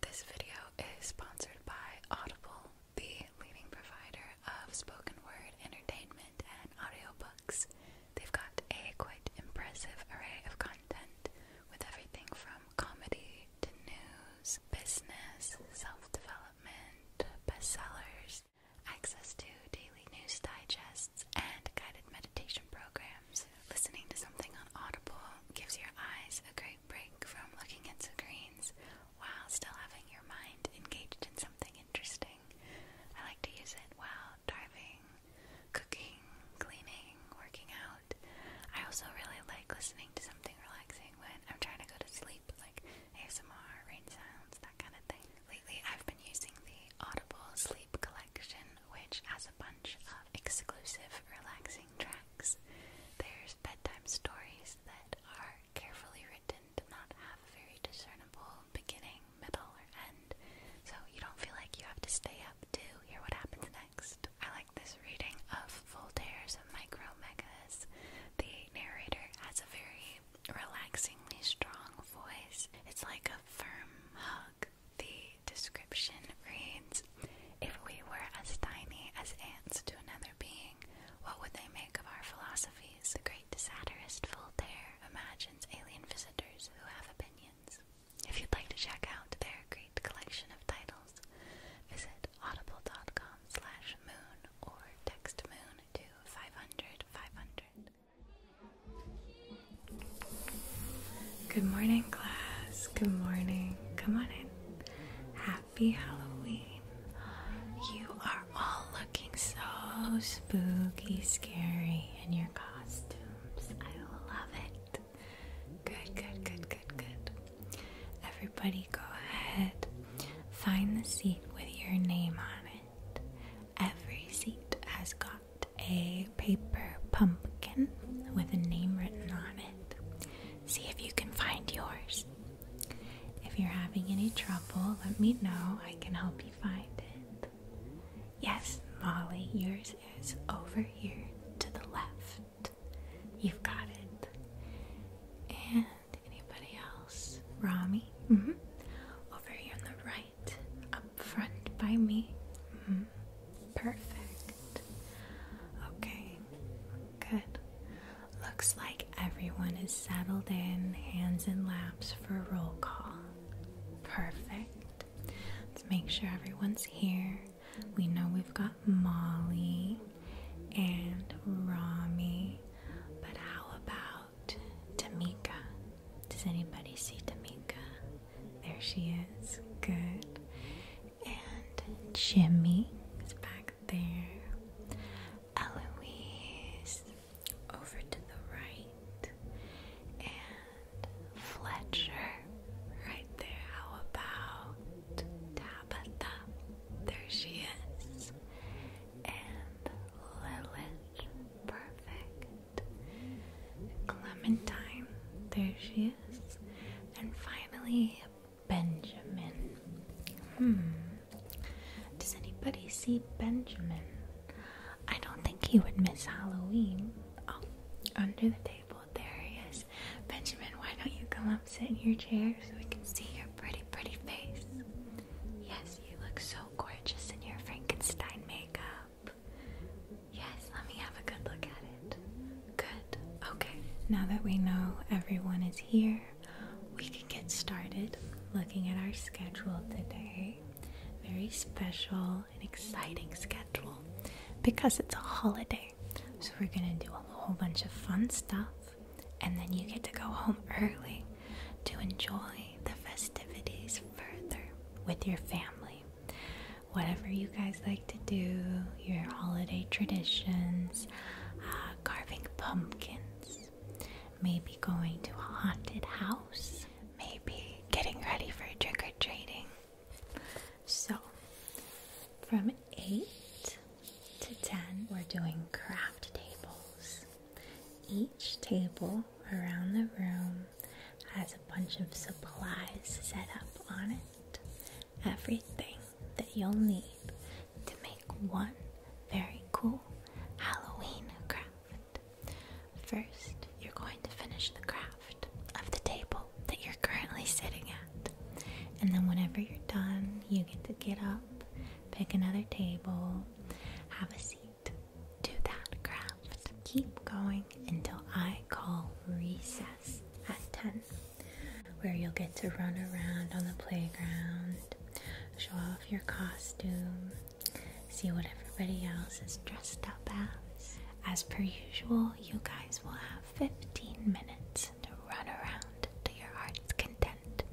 This video is sponsored by Audible, the leading provider of spoken word entertainment and audiobooks. They've got a quite impressive array of content with everything from comedy to news, business, self development, bestsellers, access to daily news digests, and guided meditation programs. Listening to something on Audible gives your eyes a great break from looking at screens while still having your mind engaged in something interesting. I like to use it while driving, cooking, cleaning, working out. I also really like listening to something relaxing when I'm trying to go to sleep, like ASMR, rain sounds, that kind of thing. Lately, I've been using the Audible Sleep Collection, which has a bunch of exclusive relaxing tracks. There's bedtime stories that are carefully written to not have a very discernible beginning, middle, or end, so you don't feel like you have to stay up to hear what happens next. I like this reading of Voltaire's Micromegas. The narrator has a very relaxingly strong voice. It's like a firm hug. The description reads if we were as tiny as ants to another being, what would they make of our philosophies? The great satirist Voltaire imagines alien visitors who have opinions. If you'd like to check out their great collection of titles, visit audible.com slash moon or text moon to 500 500. Good morning, class. Good morning. Come on in happy Halloween. You are all looking so spooky, scary in your costumes. I love it. Good, good, good, good, good. Everybody, go ahead. Find the seat with your name on it. Every seat has got a paper pumpkin with a name written on it. See if you can find yours. If you're having any trouble, let me know. I can help you find it. Yes, Molly, yours is over here to the left. You've got it. And anybody else? Rami? Mm -hmm. Over here on the right, up front by me. Mm Perfect. Okay, Good. Looks like everyone is settled in, hands in laps for roll call. Perfect. Let's make sure everyone's here. We know we've got Molly and Rami, but how about Tamika? Does anybody see Tamika? There she is. Good and Jimmy is back there. Eloise over to the right, and Fletcher right there. How about Tabitha? There she is, and Lilith, perfect. Clementine, there she is, and finally Benjamin. Hmm. Does anybody see Benjamin? I don't think he would miss Halloween. Oh, under the table. There he is. Benjamin, why don't you come up, sit in your chair so we can see your pretty, pretty face? Yes, you look so gorgeous in your Frankenstein makeup. Yes, let me have a good look at it. Good. Okay. Now that we know everyone is here, we can get started looking at our schedule today. Very special and exciting schedule because it's a holiday. So we're going to do a whole bunch of fun stuff and then you get to go home early to enjoy the festivities further with your family. Whatever you guys like to do, your holiday traditions, uh, carving pumpkins, maybe going to a haunted house, maybe getting ready for trick or treating. So, from 8 to 10, we're doing craft tables. Each table around the room has a bunch of supplies set up on it everything that you'll need to make one very cool Halloween craft. First, you're going to finish the craft of the table that you're currently sitting at. And then, whenever you're done, you get to get up, pick another table, have a seat, do that craft. Keep going until I call recess at 10 where you'll get to run around on the playground, show off your costume, see what everybody else is dressed up as. As per usual, you guys will have 15 minutes to run around to your heart's content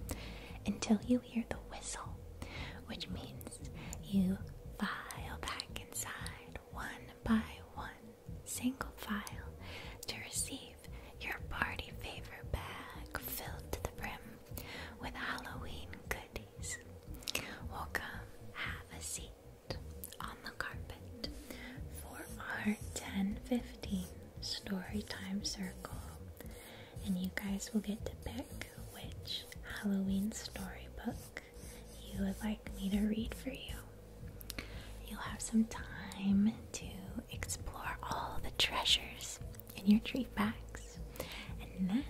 until you hear the whistle, which means you file back inside one by one single file to receive your party favor bag filled to the brim with Halloween goodies. Welcome, have a seat on the carpet for our 1015 story time circle. And you guys will get to pick which Halloween storybook you would like me to read for you. You'll have some time to explore all the treasures in your treat bags. And then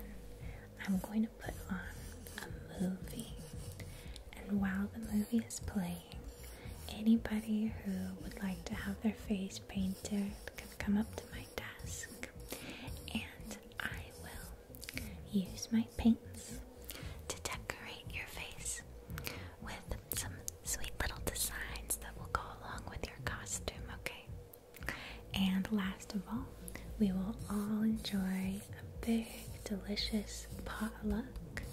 I'm going to put on a movie. And while the movie is playing, anybody who would like to have their face painted can come up to my desk and I will use my paints to decorate your face with some sweet little designs that will go along with your costume, okay? And last of all, we will all enjoy a big, delicious potluck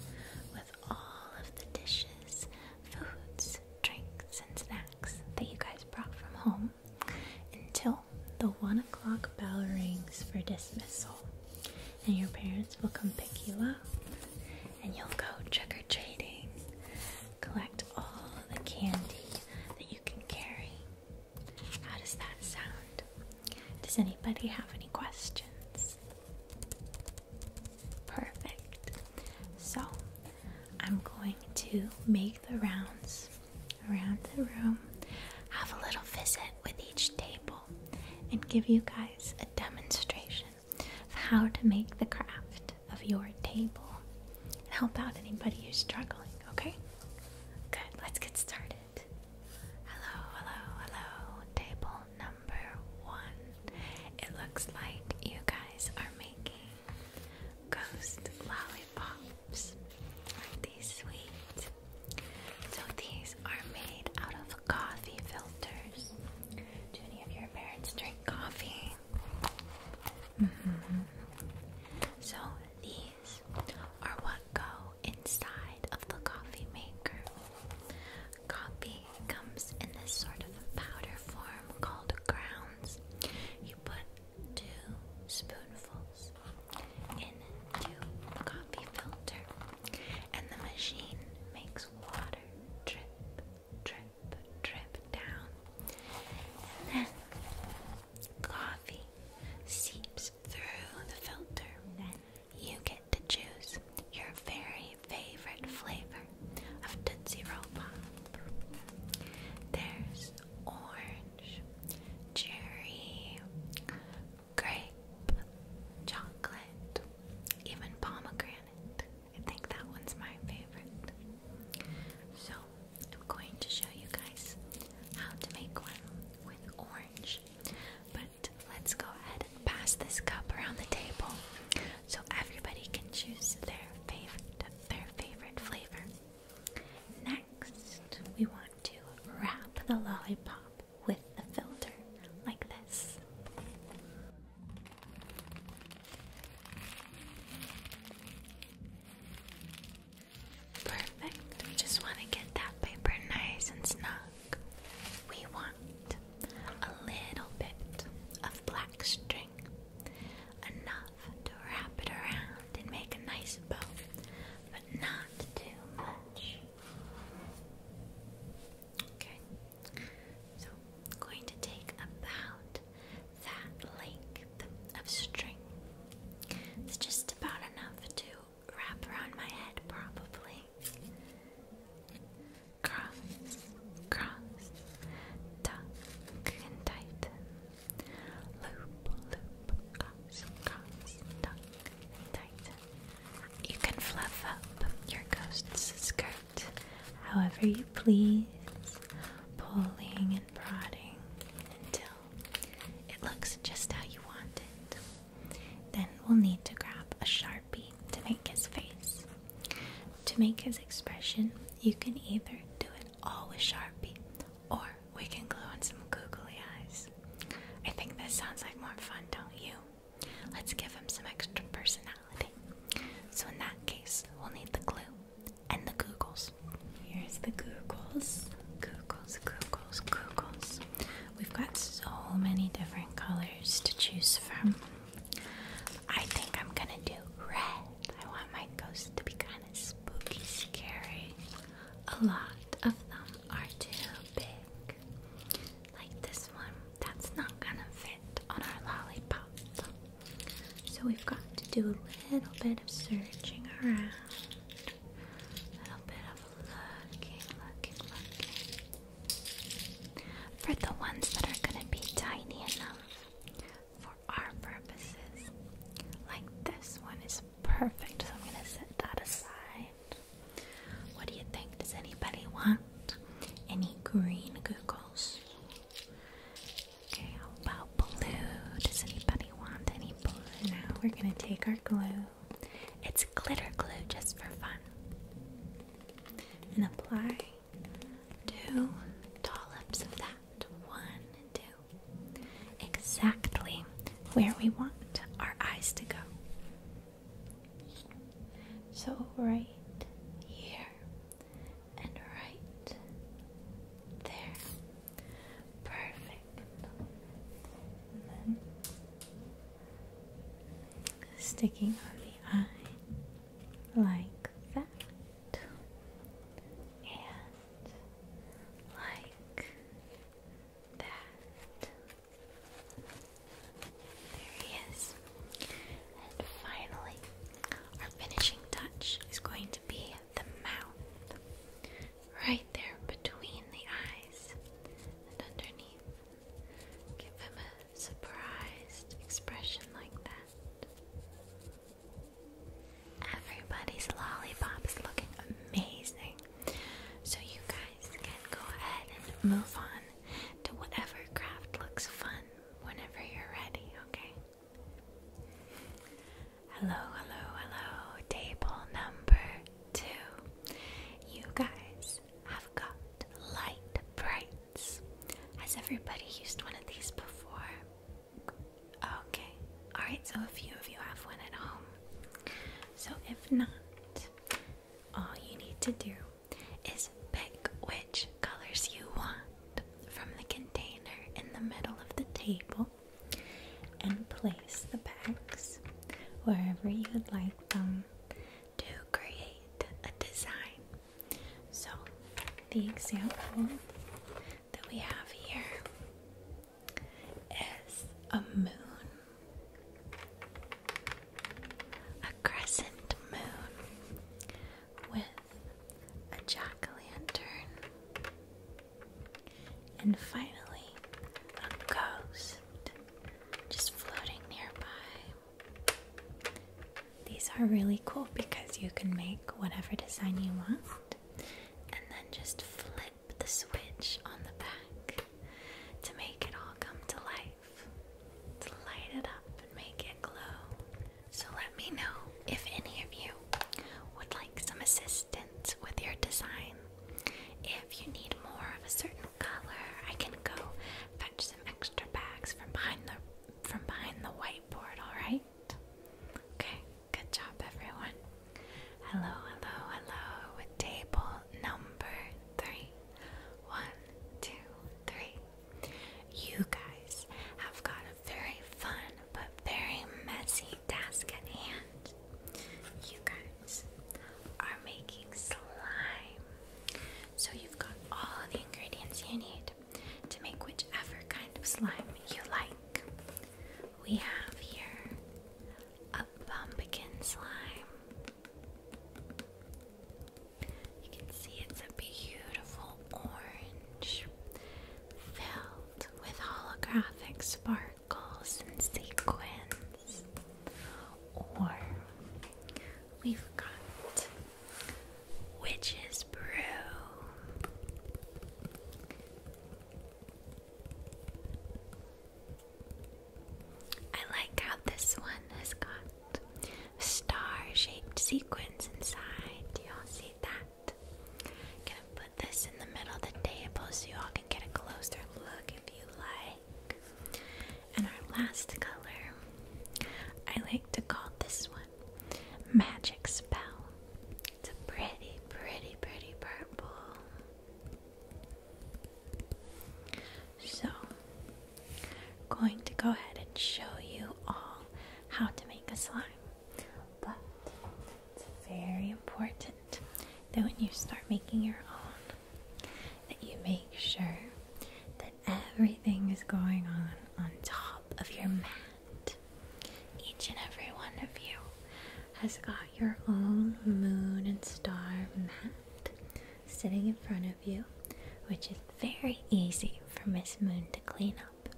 with all of the dishes, foods, drinks, and snacks that you guys brought from home until the one o'clock bell rings for dismissal. And your parents will come pick you up and you'll go trick or treating. Collect all the candy that you can carry. How does that sound? Does anybody have any questions? Perfect. So I'm going to make the rounds around the room, have a little visit with each table, and give you guys a demonstration how to make the craft of your table and help out anybody who's struggling, okay? Good, let's get started. Hello, hello, hello. Table number one. It looks like you guys are making ghost lollipops. Aren't these sweet? So these are made out of coffee filters. Do any of your parents drink coffee? Mm-hmm. So these are what go inside of the coffee maker. Coffee comes in this sort of powder form called grounds. You put two spoonfuls into coffee filter and the machine makes water drip, drip, drip down. And then coffee seeps through the filter. Then you get to choose your very favorite flavor of Tootsie Roll Pop. There's orange, cherry, grape, chocolate, even pomegranate. I think that one's my favorite. So, I'm going to show you guys how to make one with orange. But let's go ahead and pass this cup around the table so everybody can choose their favorite their favorite flavor. Next, we want to wrap the lollipop with the filter like this. Perfect. We just want to get that paper nice and snug. We want a little bit of black string, enough to wrap it around and make a nice bow, but not too much. Okay. So going to take about that length of string. It's just about enough to wrap around my head probably. Cross, cross, tuck and tighten. Loop, loop, cross, cross, tuck and tighten. You can fluff up your ghost's skirt however you please, pulling and prodding until it looks just how you want it. Then we'll need to grab a sharpie to make his face. To make his expression, you can either do it all with sharpie or we can glue on some googly eyes. I think this sounds like more fun, don't you? Let's give him some extra personality. So, in that case, we'll need the glue and the Googles. Here's the Googles. Googles, Googles, Googles. We've got so many different colors to choose from. I think I'm gonna do red. I want my ghost to be kind of spooky, scary. A lot of them are too big like this one, that's not gonna fit on our lollipop. So we've got to do a little bit of searching around, a little bit of looking, looking, looking for the ones that are gonna be tiny enough for our purposes. Like this one is perfect, so I'm gonna set that aside. What do you think? Does anybody want any green googles? Okay, how about blue? Does anybody want any blue? Now we're gonna take our glue. It's glitter glue just for fun. And apply two dollops of that. One, two. Exactly where we want our eyes to go. So, right here and right there. Perfect. sticking on the eye like that, and like that. There he is. And finally, our finishing touch is going to be the mouth. Right there between the eyes and underneath. Give him a surprised expression like that. Everybody's lollipop is looking amazing. So, you guys can go ahead and move on to whatever craft looks fun whenever you're ready, okay? Hello, hello, hello. Table number two. You guys have got light brights. Has everybody used one of these before? Okay. Alright, so a few of you have one at home. So if not, all you need to do is pick which colors you want from the container in the middle of the table and place the bags wherever you would like them to create a design. So, the example that we have here is a moon, a crescent moon, with a jack o' lantern. And finally, a ghost just floating nearby. These are really cool because you can make whatever design you want and then just flip the switch on the back to make it all come to life light it up and make it glow. So let me know if any of you would like some assistance with your design. If you need more of a certain color, I can go fetch some extra bags from behind the from behind the whiteboard, alright? Okay, good job everyone. Hello, hello, hello. Table number three. One, two, three. You guys have got a very fun but very messy task at hand. You guys are making slime. So you've got all the ingredients you need to make whichever kind of slime you like. We have here a pumpkin slime. You can see it's a beautiful orange filled with holographic sparkles and sequins. Or we've got Witch's Brew. I like how this one has got star-shaped sequins inside. Do y'all see that? i gonna put this in the middle of the table so y'all can get a closer look if you like. And our last color, I like to call this one Magic Spell. It's a pretty, pretty, pretty purple. So, I'm going to go ahead and show you all how to make a slime. But it's very important that when you start making your own, that you make sure that everything is going on on top of your mat. Each and every one of you has got your own moon and star mat sitting in front of you, which is very easy for Miss Moon to clean up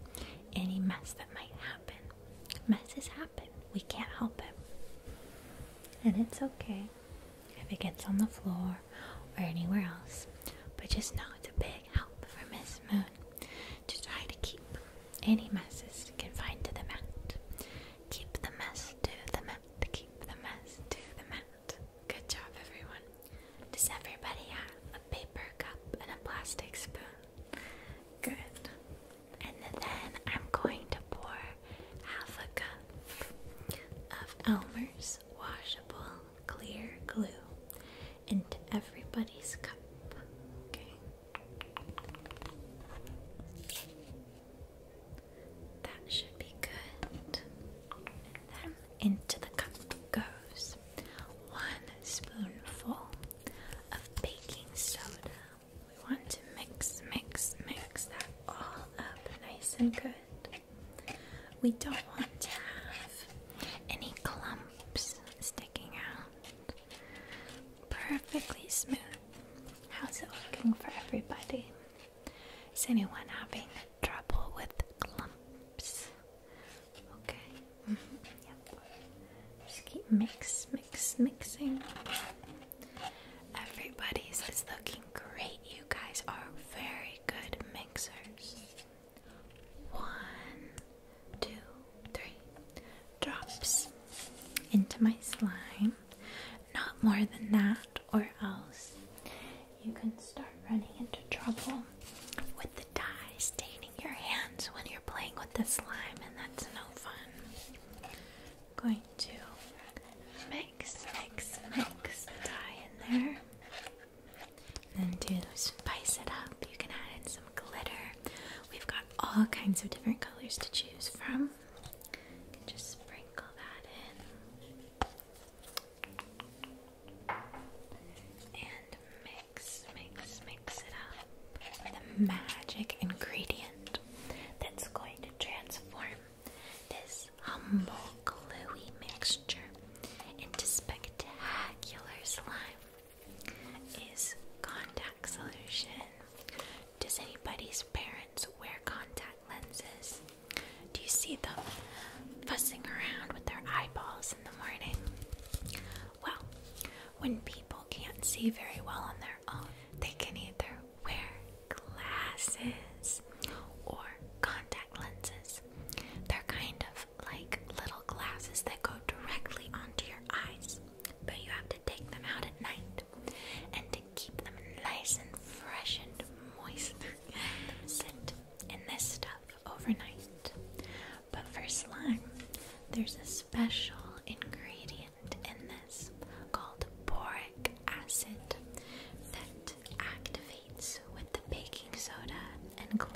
any mess that might happen. Messes happen, we can't help it. And it's okay if it gets on the floor or anywhere else, but just know it's a big help for Miss Moon to try to keep any messes confined to the mat. Keep the mess to the mat, keep the mess to the mat. Good job, everyone. Does everybody have a paper cup and a plastic spoon? Good. And then I'm going to pour half a cup of Elmer's washable clear glue into everybody's cup. Okay. That should be good. Into the cup goes one spoonful of baking soda. We want to mix, mix, mix that all up nice and good. We don't want to have any clumps sticking out. Perfectly smooth. How's it looking for everybody? Is anyone happy? trouble with clumps. Okay. Mm-hmm. Just keep mix, mix, mixing. Everybody's is looking great. You guys are very good mixers. One, two, three drops into my slime. Not more than that, or else you can start running into trouble with the dye staining your hands when you're playing with the slime, and that's no fun. I'm going to mix, mix, mix the dye in there. And to spice it up, you can add in some glitter. We've got all kinds of different colors to choose from. just sprinkle that in. And mix, mix, mix it up for the magic ingredient that's going to transform this humble, gluey mixture into spectacular slime is contact solution. Does anybody's parents wear contact lenses? Do you see them fussing around with their eyeballs well, when people can't see very well on their own, they can either wear glasses or contact lenses. They're kind of like little glasses that go directly onto your eyes, but you have to take them out at night. And to keep them nice and fresh and moist, let them in this stuff overnight. But for slime, there's a special ingredient in this called boric acid that activates with the baking soda and glue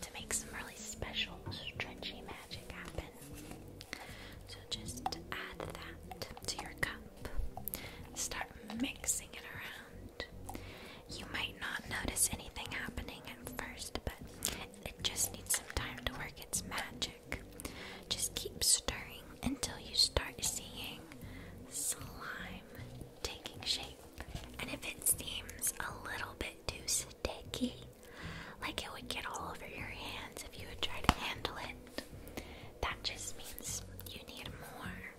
to make some really special stretchy magic happen. So just add that to your cup. Start mixing it around. You might not notice anything happening at first, but it just needs some time to work its magic. Just keep stirring until you start seeing slime taking shape. And if it seems a little bit too sticky, like it would get all over your hands if you would try to handle it, that just means you need more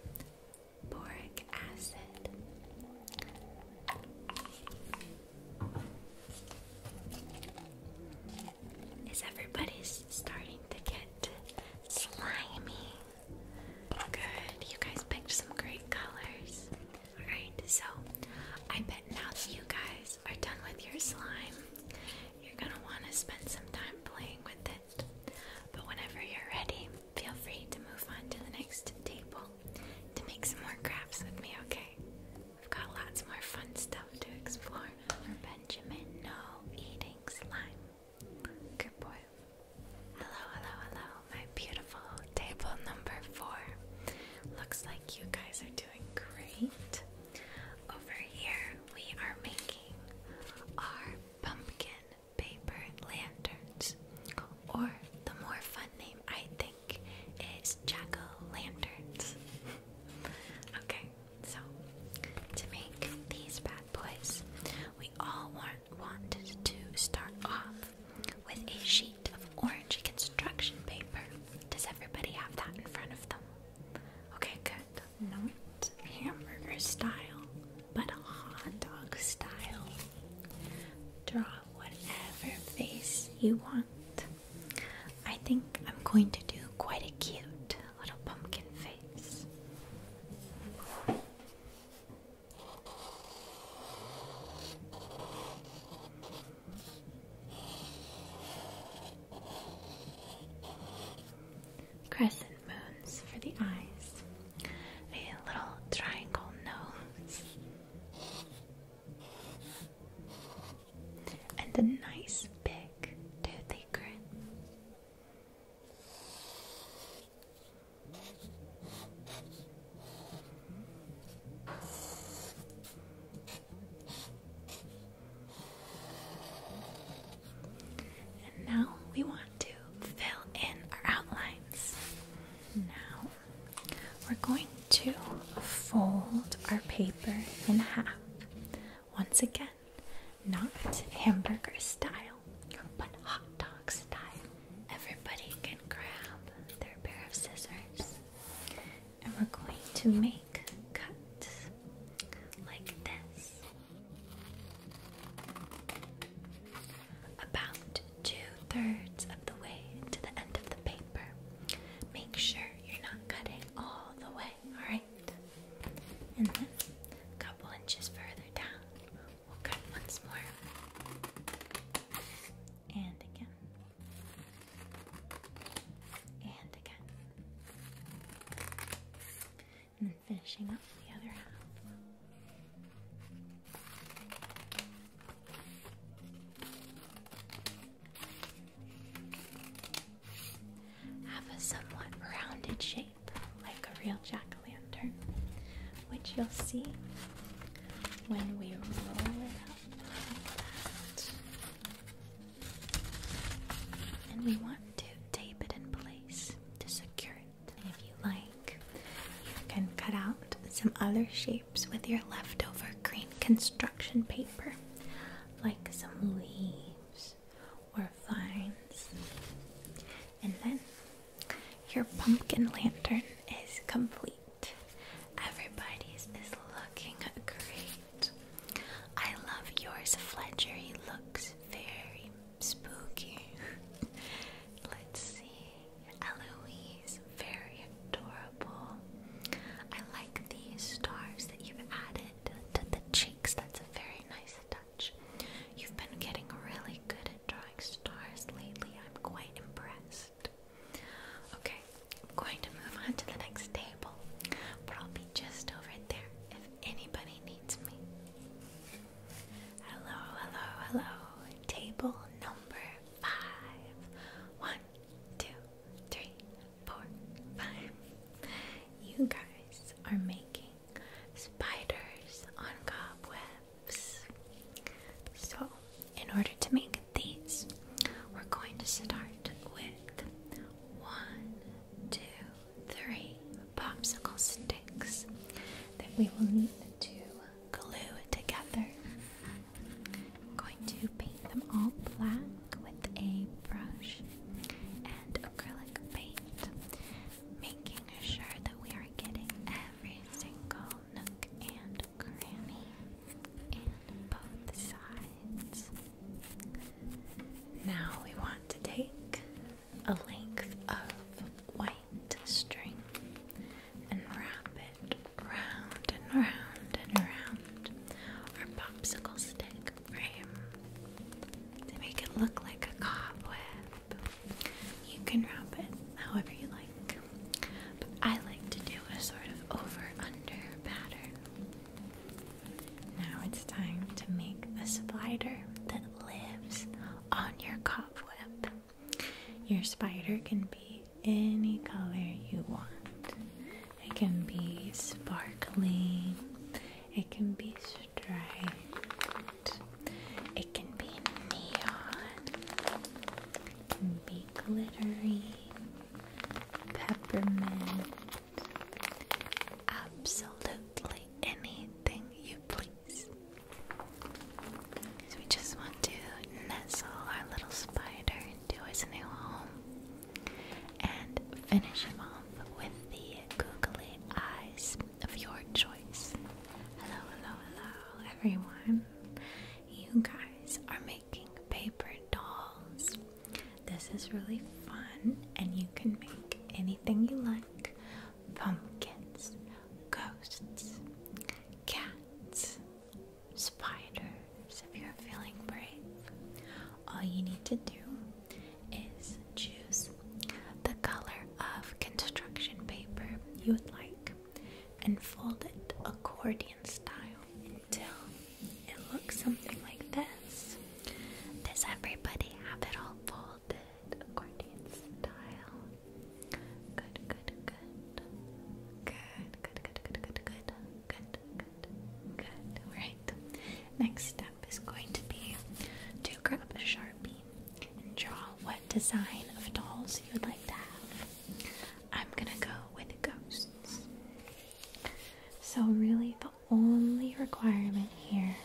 boric acid. Is everybody starting to get slimy? Good, you guys picked some great colors. Alright, so I bet now that you guys are done with your slime, you're gonna want to spend some time playing with it. But whenever you're ready, feel free to move on to the next table to make some more crafts with me, okay? We've got lots more fun stuff to explore for Benjamin. No eating slime. Good boy. Hello, hello, hello, my beautiful table number four. Looks like you guys are doing great. Over here, we are making our pumpkin paper lanterns, or the more fun name I think is jack lanterns. okay, so to make these bad boys, we all want, wanted to start off with a sheet of orange construction paper. Does everybody have that in front of them? Okay, good. Not hamburger style, but a hot dog style. Draw whatever face you want. I think I'm going to do quite a cute little pumpkin face. Crescent moons for the eyes a little triangle nose, and a nice big toothy grin. And now we want to fill in our outlines. Now we're going to fold our paper in half. Once again, not hamburger style, but hot dog style. Everybody can grab their pair of scissors and we're going to make cuts like this. About two-thirds of the way to the end of the paper. Make sure you're not cutting all the way, alright? And then a couple inches further down, we'll cut once more. And again. And again. And then finishing up the other half. Have a somewhat rounded shape, like a real jack o' lantern, which you'll see when we roll it out, And we want to tape it in place to secure it if you like, you can cut out some other shapes with your leftover green construction paper, like some leaves or vines. And then your pumpkin lantern is complete. Everybody's is looking great. I love yours, Fletcher. He looks very spooky. Let's see. Eloise, very adorable. I like these stars that you've added to the cheeks. That's a very nice touch. You've been getting really good at drawing stars lately. I'm quite impressed. Okay, I'm going to move on to the next table, but I'll be just over there if anybody needs me. Hello, hello, hello. Table number five. One, two, You guys are making spiders on cobwebs. So, in order to make these, we're going to start with one, two, three popsicle sticks that we will need to glue it together. I'm going to paint them all black with a brush and acrylic paint, making sure that we are getting every single nook and cranny and both sides. Now we want to take a length of white to string and wrap it round and round and round our popsicle stick frame to make it look like a cobweb. You can wrap it however you like, but I like to do a sort of over under pattern. Now it's time to make the spider that lives on your cobweb. Your spider can be any color you want. It can be sparkling, it can be striped, it can be neon, it can be glittery, peppermint, absolutely anything you put. So we just want to nestle our little spider into his new home and finish him off with the googly eyes of your choice. Hello, hello, hello, everyone. You guys are making paper dolls. This is really fun, and you can make anything you like pumpkins, ghosts, cats spiders, if you're feeling brave, all you need to do is choose the color of construction paper you would like and fold it accordion style until it looks something like this. Does everybody have it all folded accordion style? Good, good, good. Good, good, good, good, good, good. Good, good, Next step is going to be to grab a sharpie and draw what design of dolls you would like to have. I'm gonna go with ghosts. So, really, the only requirement here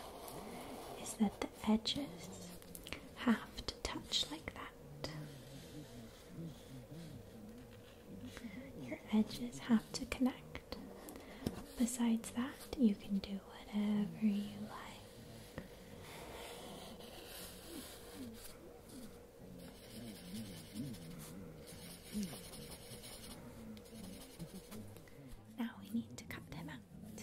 is that the edges have to touch like that. Your edges have to connect. Besides that, you can do whatever you like. Now we need to cut them out.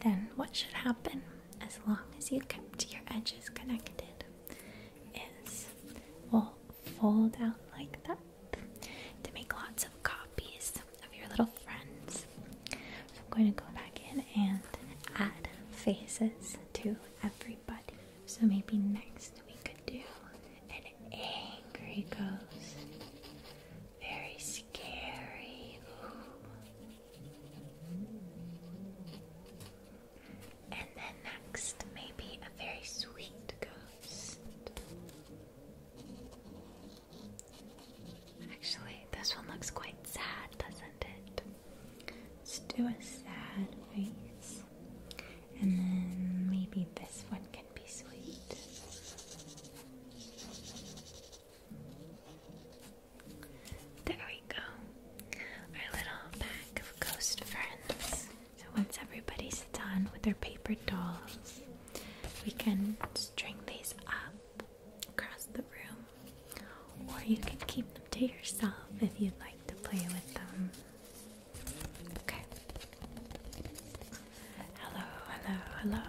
Then, what should happen as long as you kept your edges connected is we'll fold out like that to make lots of copies of your little friends. I'm going to go back in and add faces to everybody. So maybe next we could do an angry ghost. Very scary. And then next, maybe a very sweet ghost. Actually, this one looks quite sad, doesn't Let's do a sad face. And then maybe this one can be sweet. There we go. Our little pack of ghost friends. So once everybody's done with their paper dolls, we can string these up across the room, or you can keep them to yourself if you'd like to play with them. Okay. Hello, hello, hello.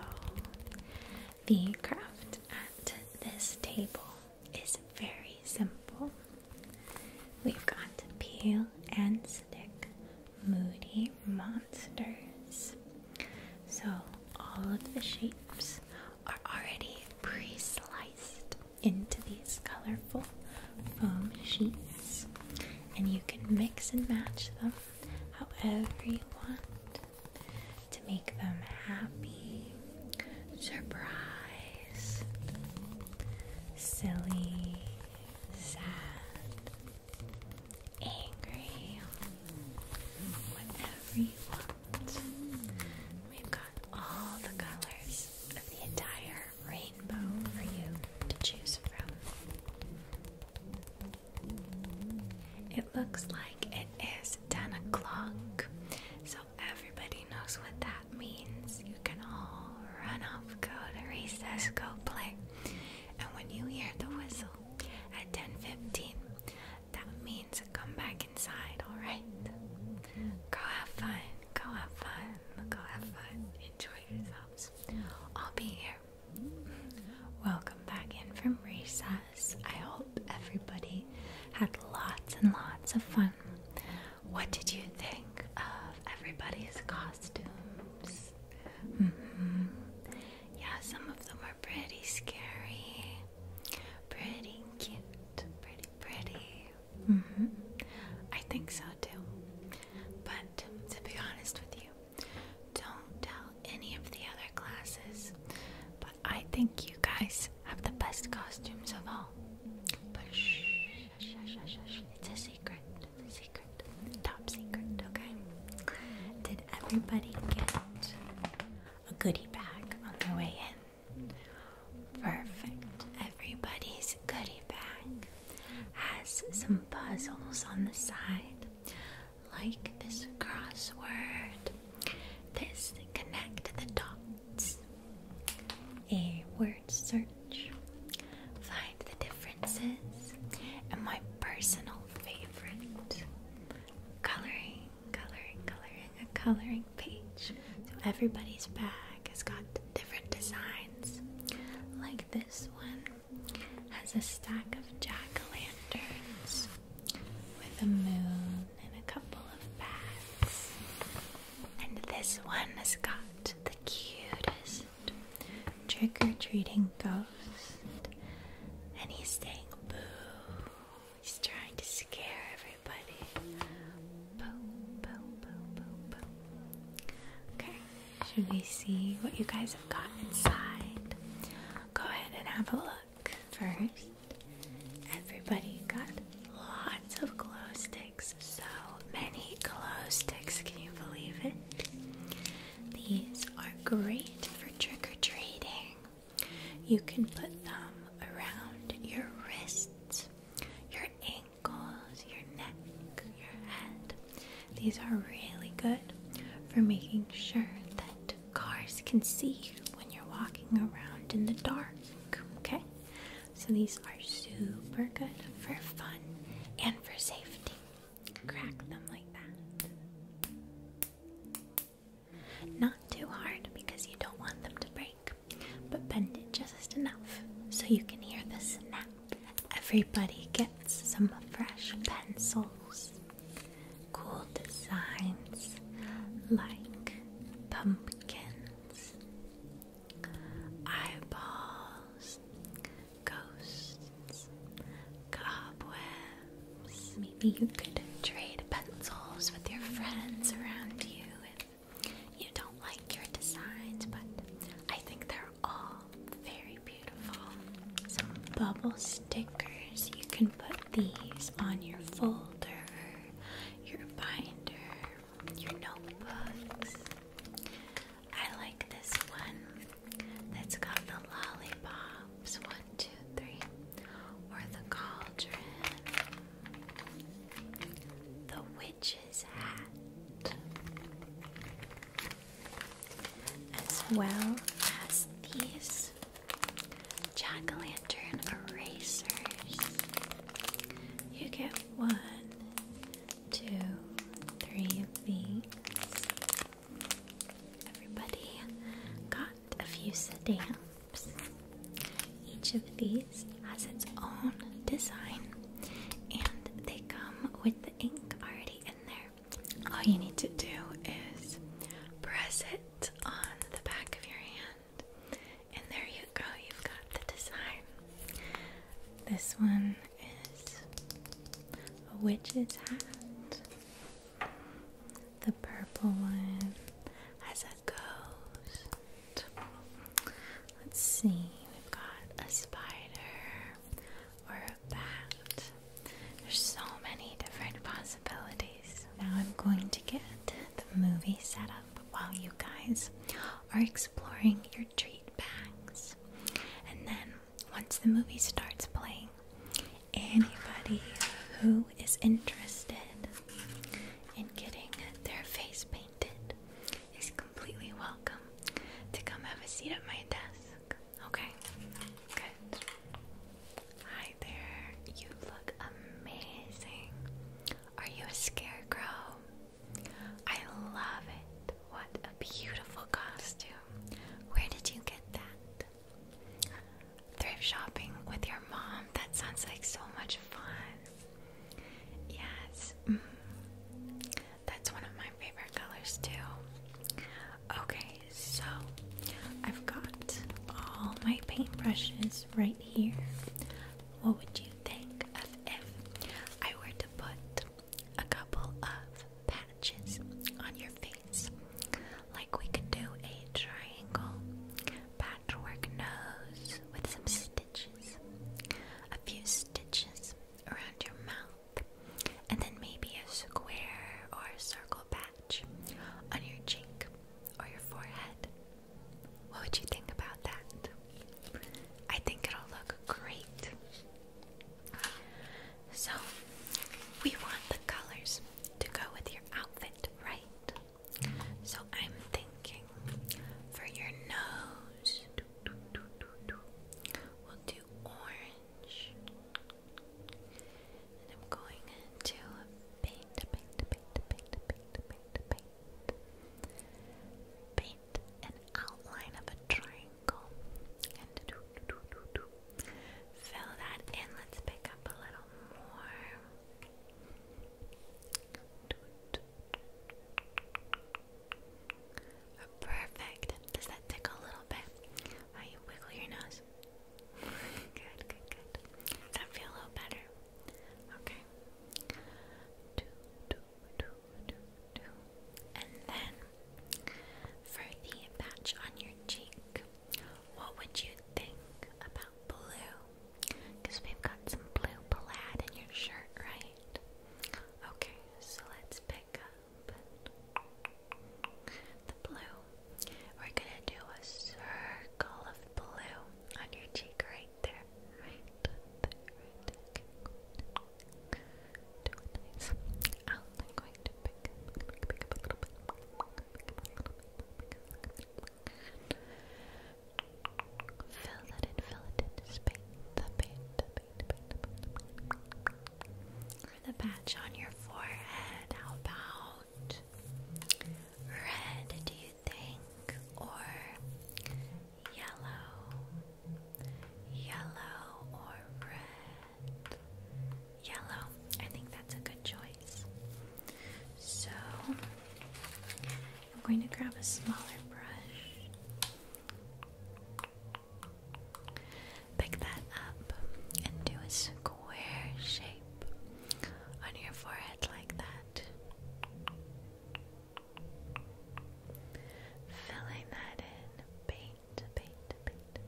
The craft at this table is very simple. We've got to peel and stick moody monsters. So, all of the shapes are already pre sliced into these colorful foam sheets, and you can mix and match them however you want to make them happy, surprised, silly, sad, angry. Whatever you want. We've got all the colors of the entire rainbow for you to choose from. It looks like it is 10 o'clock, so everybody knows what that means. You can all run off, go to recess, go play. And when you hear the whistle at 10:15, that means come back inside, alright? Go have fun, go have fun, go have fun, enjoy yourselves. I'll be here. Welcome back in from recess. I hope everybody had lots and lots of fun. What did you think of everybody's costumes? Mm-hmm. Yeah, some of them were pretty scary, pretty cute, pretty pretty Mm -hmm. I think so too. But to be honest with you, don't tell any of the other classes. But I think you guys have the best costumes of all. But shh, shh, shh, shh, shh. it's a secret. It's a secret. Top secret, okay? Did everybody get a goodie bag on their way in? Perfect. Everybody's goodie bag has some puzzles on the side, like this crossword. This connect the dots. A word search. Find the differences. And my personal favorite coloring, coloring, coloring, a coloring page. So everybody's bag has got different designs. Like this one has a stack of jack-o'-lanterns with a moon and a couple of bats. And this one has got the cutest trick-or-treating ghost. And he's saying boo She's trying to scare everybody. Okay, should we see what you guys have got inside? Go ahead and have a look first. Everybody got lots of glow sticks. So many glow sticks, can you believe it? These are great for trick or treating. You can put them around your wrists, your ankles, your neck, your head. These are really good for making sure that cars can see you when you're walking around in the dark. Okay? So these are super good for fun and for safety. Crack them like that. Not too hard because you don't want them to break, but bend it just enough so you can hear the snap. Everybody gets some fresh pencils. Cool designs like pumpkins, eyeballs, ghosts, cobwebs. Maybe you could trade pencils with your friends around you you don't like your designs, but I think they're all very beautiful. Some bubble stickers. You can put these on your folder, your binder, your notebooks. I like this one that's got the lollipops. One, two, three. Or the cauldron. The witch's hat, as well as these jack o' lantern erasers. You get one, two, three of these. Everybody got a few sedans. Each of these has its own design and they come with the ink already in there. All you need to do is press it on the back of your hand, and there you go, you've got the design. This one is a witch's hat. The purple one has a goes. Let's see, we've got a spider or a bat. There's so many different possibilities. Now I'm going to get the movie set up while you guys are exploring your treat bags. And then once the movie starts playing, anybody who is interested and getting their face painted is completely welcome to come have a seat at my desk. Okay? Good. Hi there. You look amazing. Are you a scarecrow? I love it. What a beautiful costume. Where did you get that? Thrift shopping with your mom. That sounds like so much fun. Yes. Mm-hmm. That's one of my favorite colors too. Okay, so I've got all my paintbrushes right here. What would you think of if I were to put a couple of patches on your face? Like we could do a triangle patchwork nose with some a few stitches around your mouth, and then maybe a square or a circle patch on your cheek or your forehead. What would you think about that? I think it'll look great. So, we want the colors to go with your outfit, right? So I'm thinking for your nose, we'll do orange. And I'm going to paint, paint, paint, paint, paint, paint, paint. Paint an outline of a triangle. And Fill that in. Let's pick up a little more. Perfect. Does that tickle a little bit? How you wiggle your nose? good, good, good. Does that feel a little better? Okay. Do, And then for the patch on your cheek, what would you think about blue? Because we've got some blue plaid in your shirt, right? Okay, so let's pick up the blue. We're gonna do a circle of blue on your cheek right there. Right there, Okay, Do it nice. I'm going to Pick up a little bit. Fill that in, fill it in. Just paint the paint, the paint, the paint, the paint. The patch on your forehead. How about red, do you think? Or yellow? Yellow or red? Yellow. I think that's a good choice. So I'm going to grab a smaller brush, pick that up, and do a square shape on your forehead like that. Filling that in, paint, paint, paint.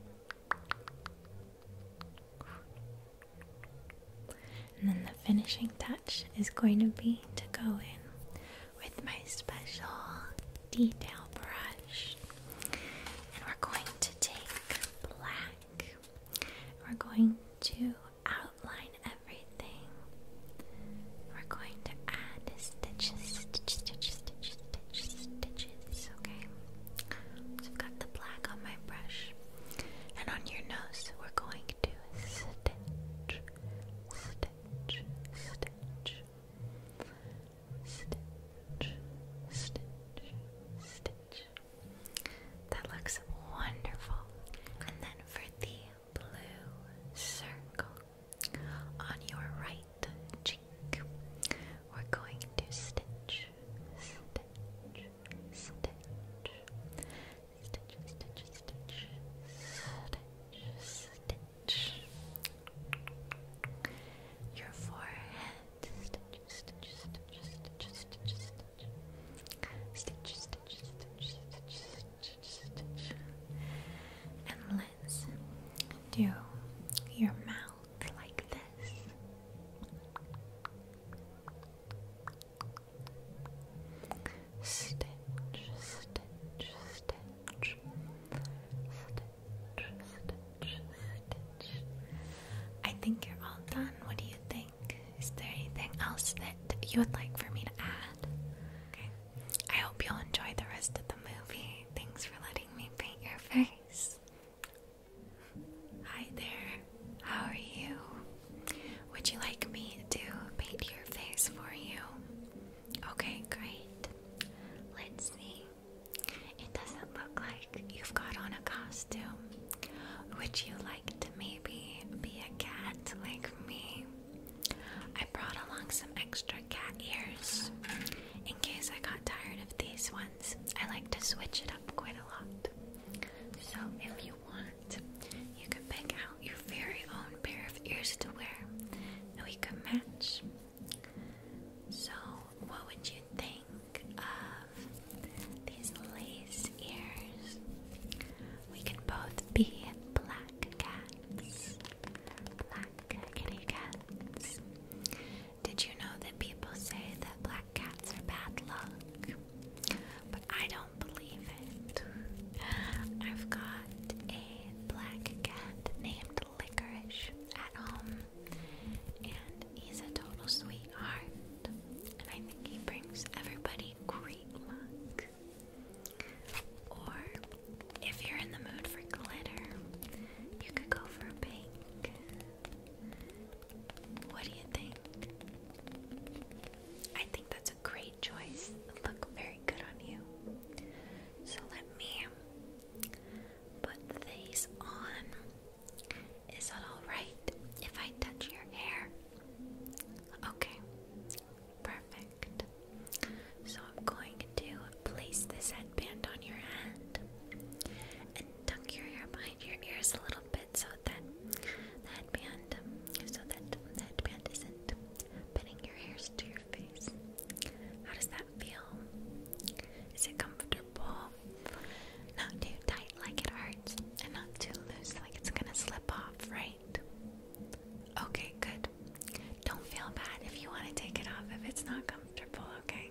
And then the finishing touch swatch is going to be to go in with my special detail brush. And we're going to take black. We're going to outline everything. We're going to add stitches, stitches, stitches, stitches, stitches, stitches, okay? So I've got the black on my brush. And on your nose, we're going going stitch, stitch, stitch, stitch, stitch, stitch. That looks wonderful. And then for the blue circle on your right cheek, we're going to stitch, stitch, stitch. Stitch, stitch, stitch, stitch, stitch. Your forehead. Stitch, stitch, stitch, stitch, stitch, stitch. Stitch, stitch, stitch, stitch, stitch, stitch. And let's do your mouth like this. Stitch, stitch, stitch, stitch, stitch, stitch. I think you're all done. What do you think? Is there anything else that you would like for me to add? Okay. I hope you'll enjoy the rest of the movie. Thanks for letting me paint your face. Hi there. How are you? Would you like me to paint your face for you? Okay, great. Let's see. It doesn't look like you've got on a costume. Would you like to maybe be a cat like me? I brought along some extra cat ears in case I got tired of these ones. I like to switch it up quite a lot. So if you want, you can pick out your very own pair of ears to wear, and we can match. So, what would you think of these lace ears? We can both be black cats. Black kitty cats. Did you know that people say that black cats are bad luck? I don't believe it. I've got a black cat named Licorice at home, and he's a total sweetheart, and I think he brings everybody great luck. Or, if you're in the mood for glitter, you could go for pink. What do you think? I think that's great choice. look very good on you. So let me put these on. Is it alright if I touch your hair? Okay, perfect. So I'm going to place this headband on your hand and tuck your hair behind your ears a little bit so that headband so that the headband isn't pinning your hairs to your face. How does that feel? Is it comfortable? Not too tight like it hurts, and not too loose like it's gonna slip off, right? Okay, good. Don't feel bad if you want to take it off if it's not comfortable, okay?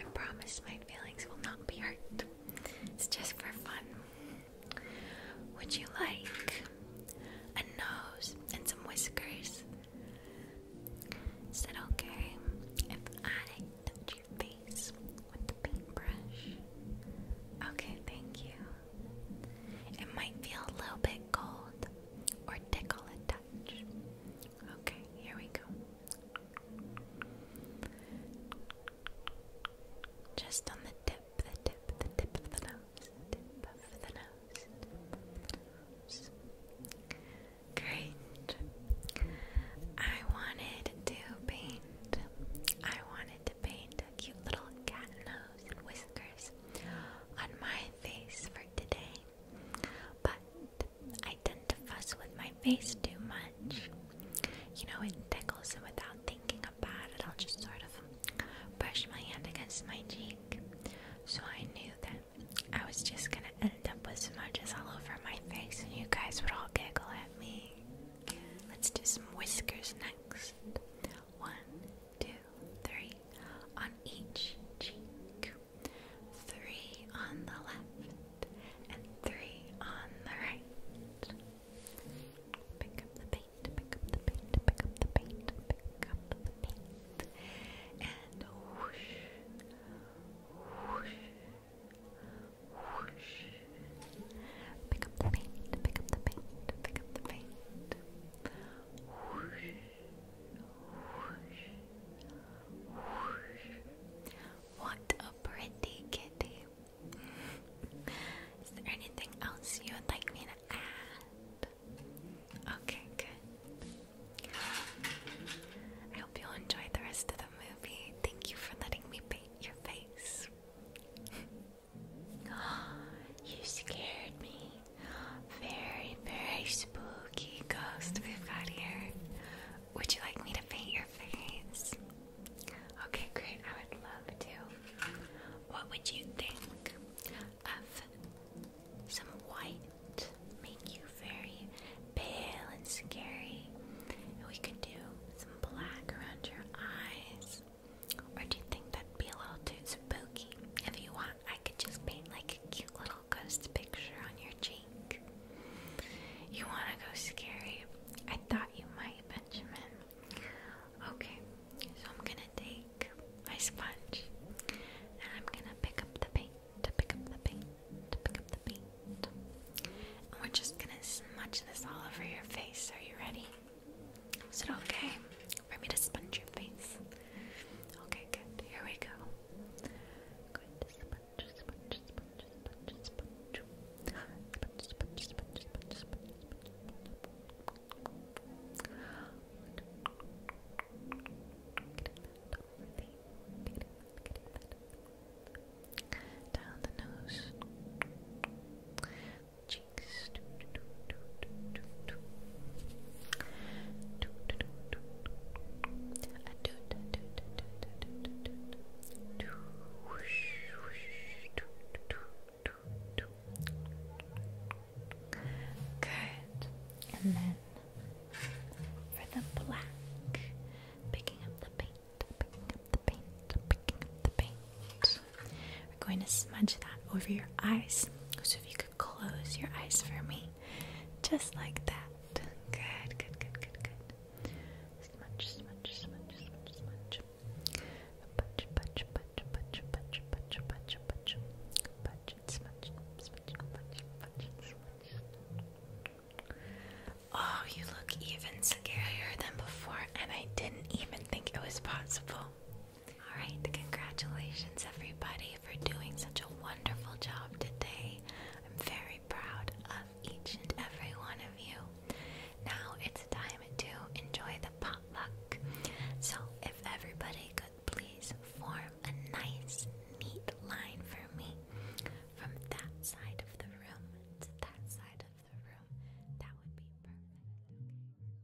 I promise my feelings will not be hurt. It's just for fun. Would you like a nose and some whiskers? Is that okay if I touch your face with the paintbrush? Okay, thank you. It might feel a little bit cold or tickle a touch. Okay, here we go. Just on the tip the tip, the tip of the nose, tip of the nose, Great. I wanted to paint. I wanted to paint a cute little cat nose and whiskers on my face for today. But I tend to fuss with my face too much. You know, it tickles, and without the thinking about it, I'll just sort of brush my hand against my cheek. So I knew that I was just gonna end up with smudges all over my face, and you guys would all giggle at me. Let's do some whiskers next. One, two, three on each cheek, three on the left, and three on the right. Pick up the paint, pick up the paint, pick up the paint, pick up the paint. And whoosh, whoosh, whoosh. Pick up the paint, pick up the paint, pick up the paint. Whoosh, whoosh, whoosh. What a pretty kitty. Is there anything else you would like me to okay, good. I hope you'll enjoy the rest of the movie. Thank you for letting me paint your face. oh, you scared me. Very, very spooky ghost we've got here. Would you like me to paint your face? Okay, great. I would love to. What would you think of some white? Make you very pale and scary. And we could do some black around your eyes. Or do you think that'd be a little too spooky? If you want, I could just paint like a cute little ghost picture on your cheek. You want to go scary? I thought you might, Benjamin. Okay, so I'm gonna take my sponge and I'm gonna pick up the paint, to pick up the paint, to pick up the paint. And we're just gonna smudge this all over your face. Are you ready? Is it okay for me to sponge your face? Okay, good. Here we go. Good. Sponge, sponge, sponge, sponge, sponge. Sponge, sponge, sponge, sponge, sponge, sponge. Down the nose, cheeks. Good. And then for the black, picking up the paint, picking up the paint, picking up the paint. We're going to smudge that over your eyes. So if you could close your eyes for me, just like that. Good, good, good, good, good. Smudge, smudge, smudge, smudge, smudge. Oh, you look even scarier than before, and I didn't even think it was possible. Alright, congratulations everybody for doing such a wonderful job today. I'm very proud of each and every one of you. Now it's time to enjoy the pop so, if everybody could please form a nice, neat line for me from that side of the room to that side of the room, that would be perfect.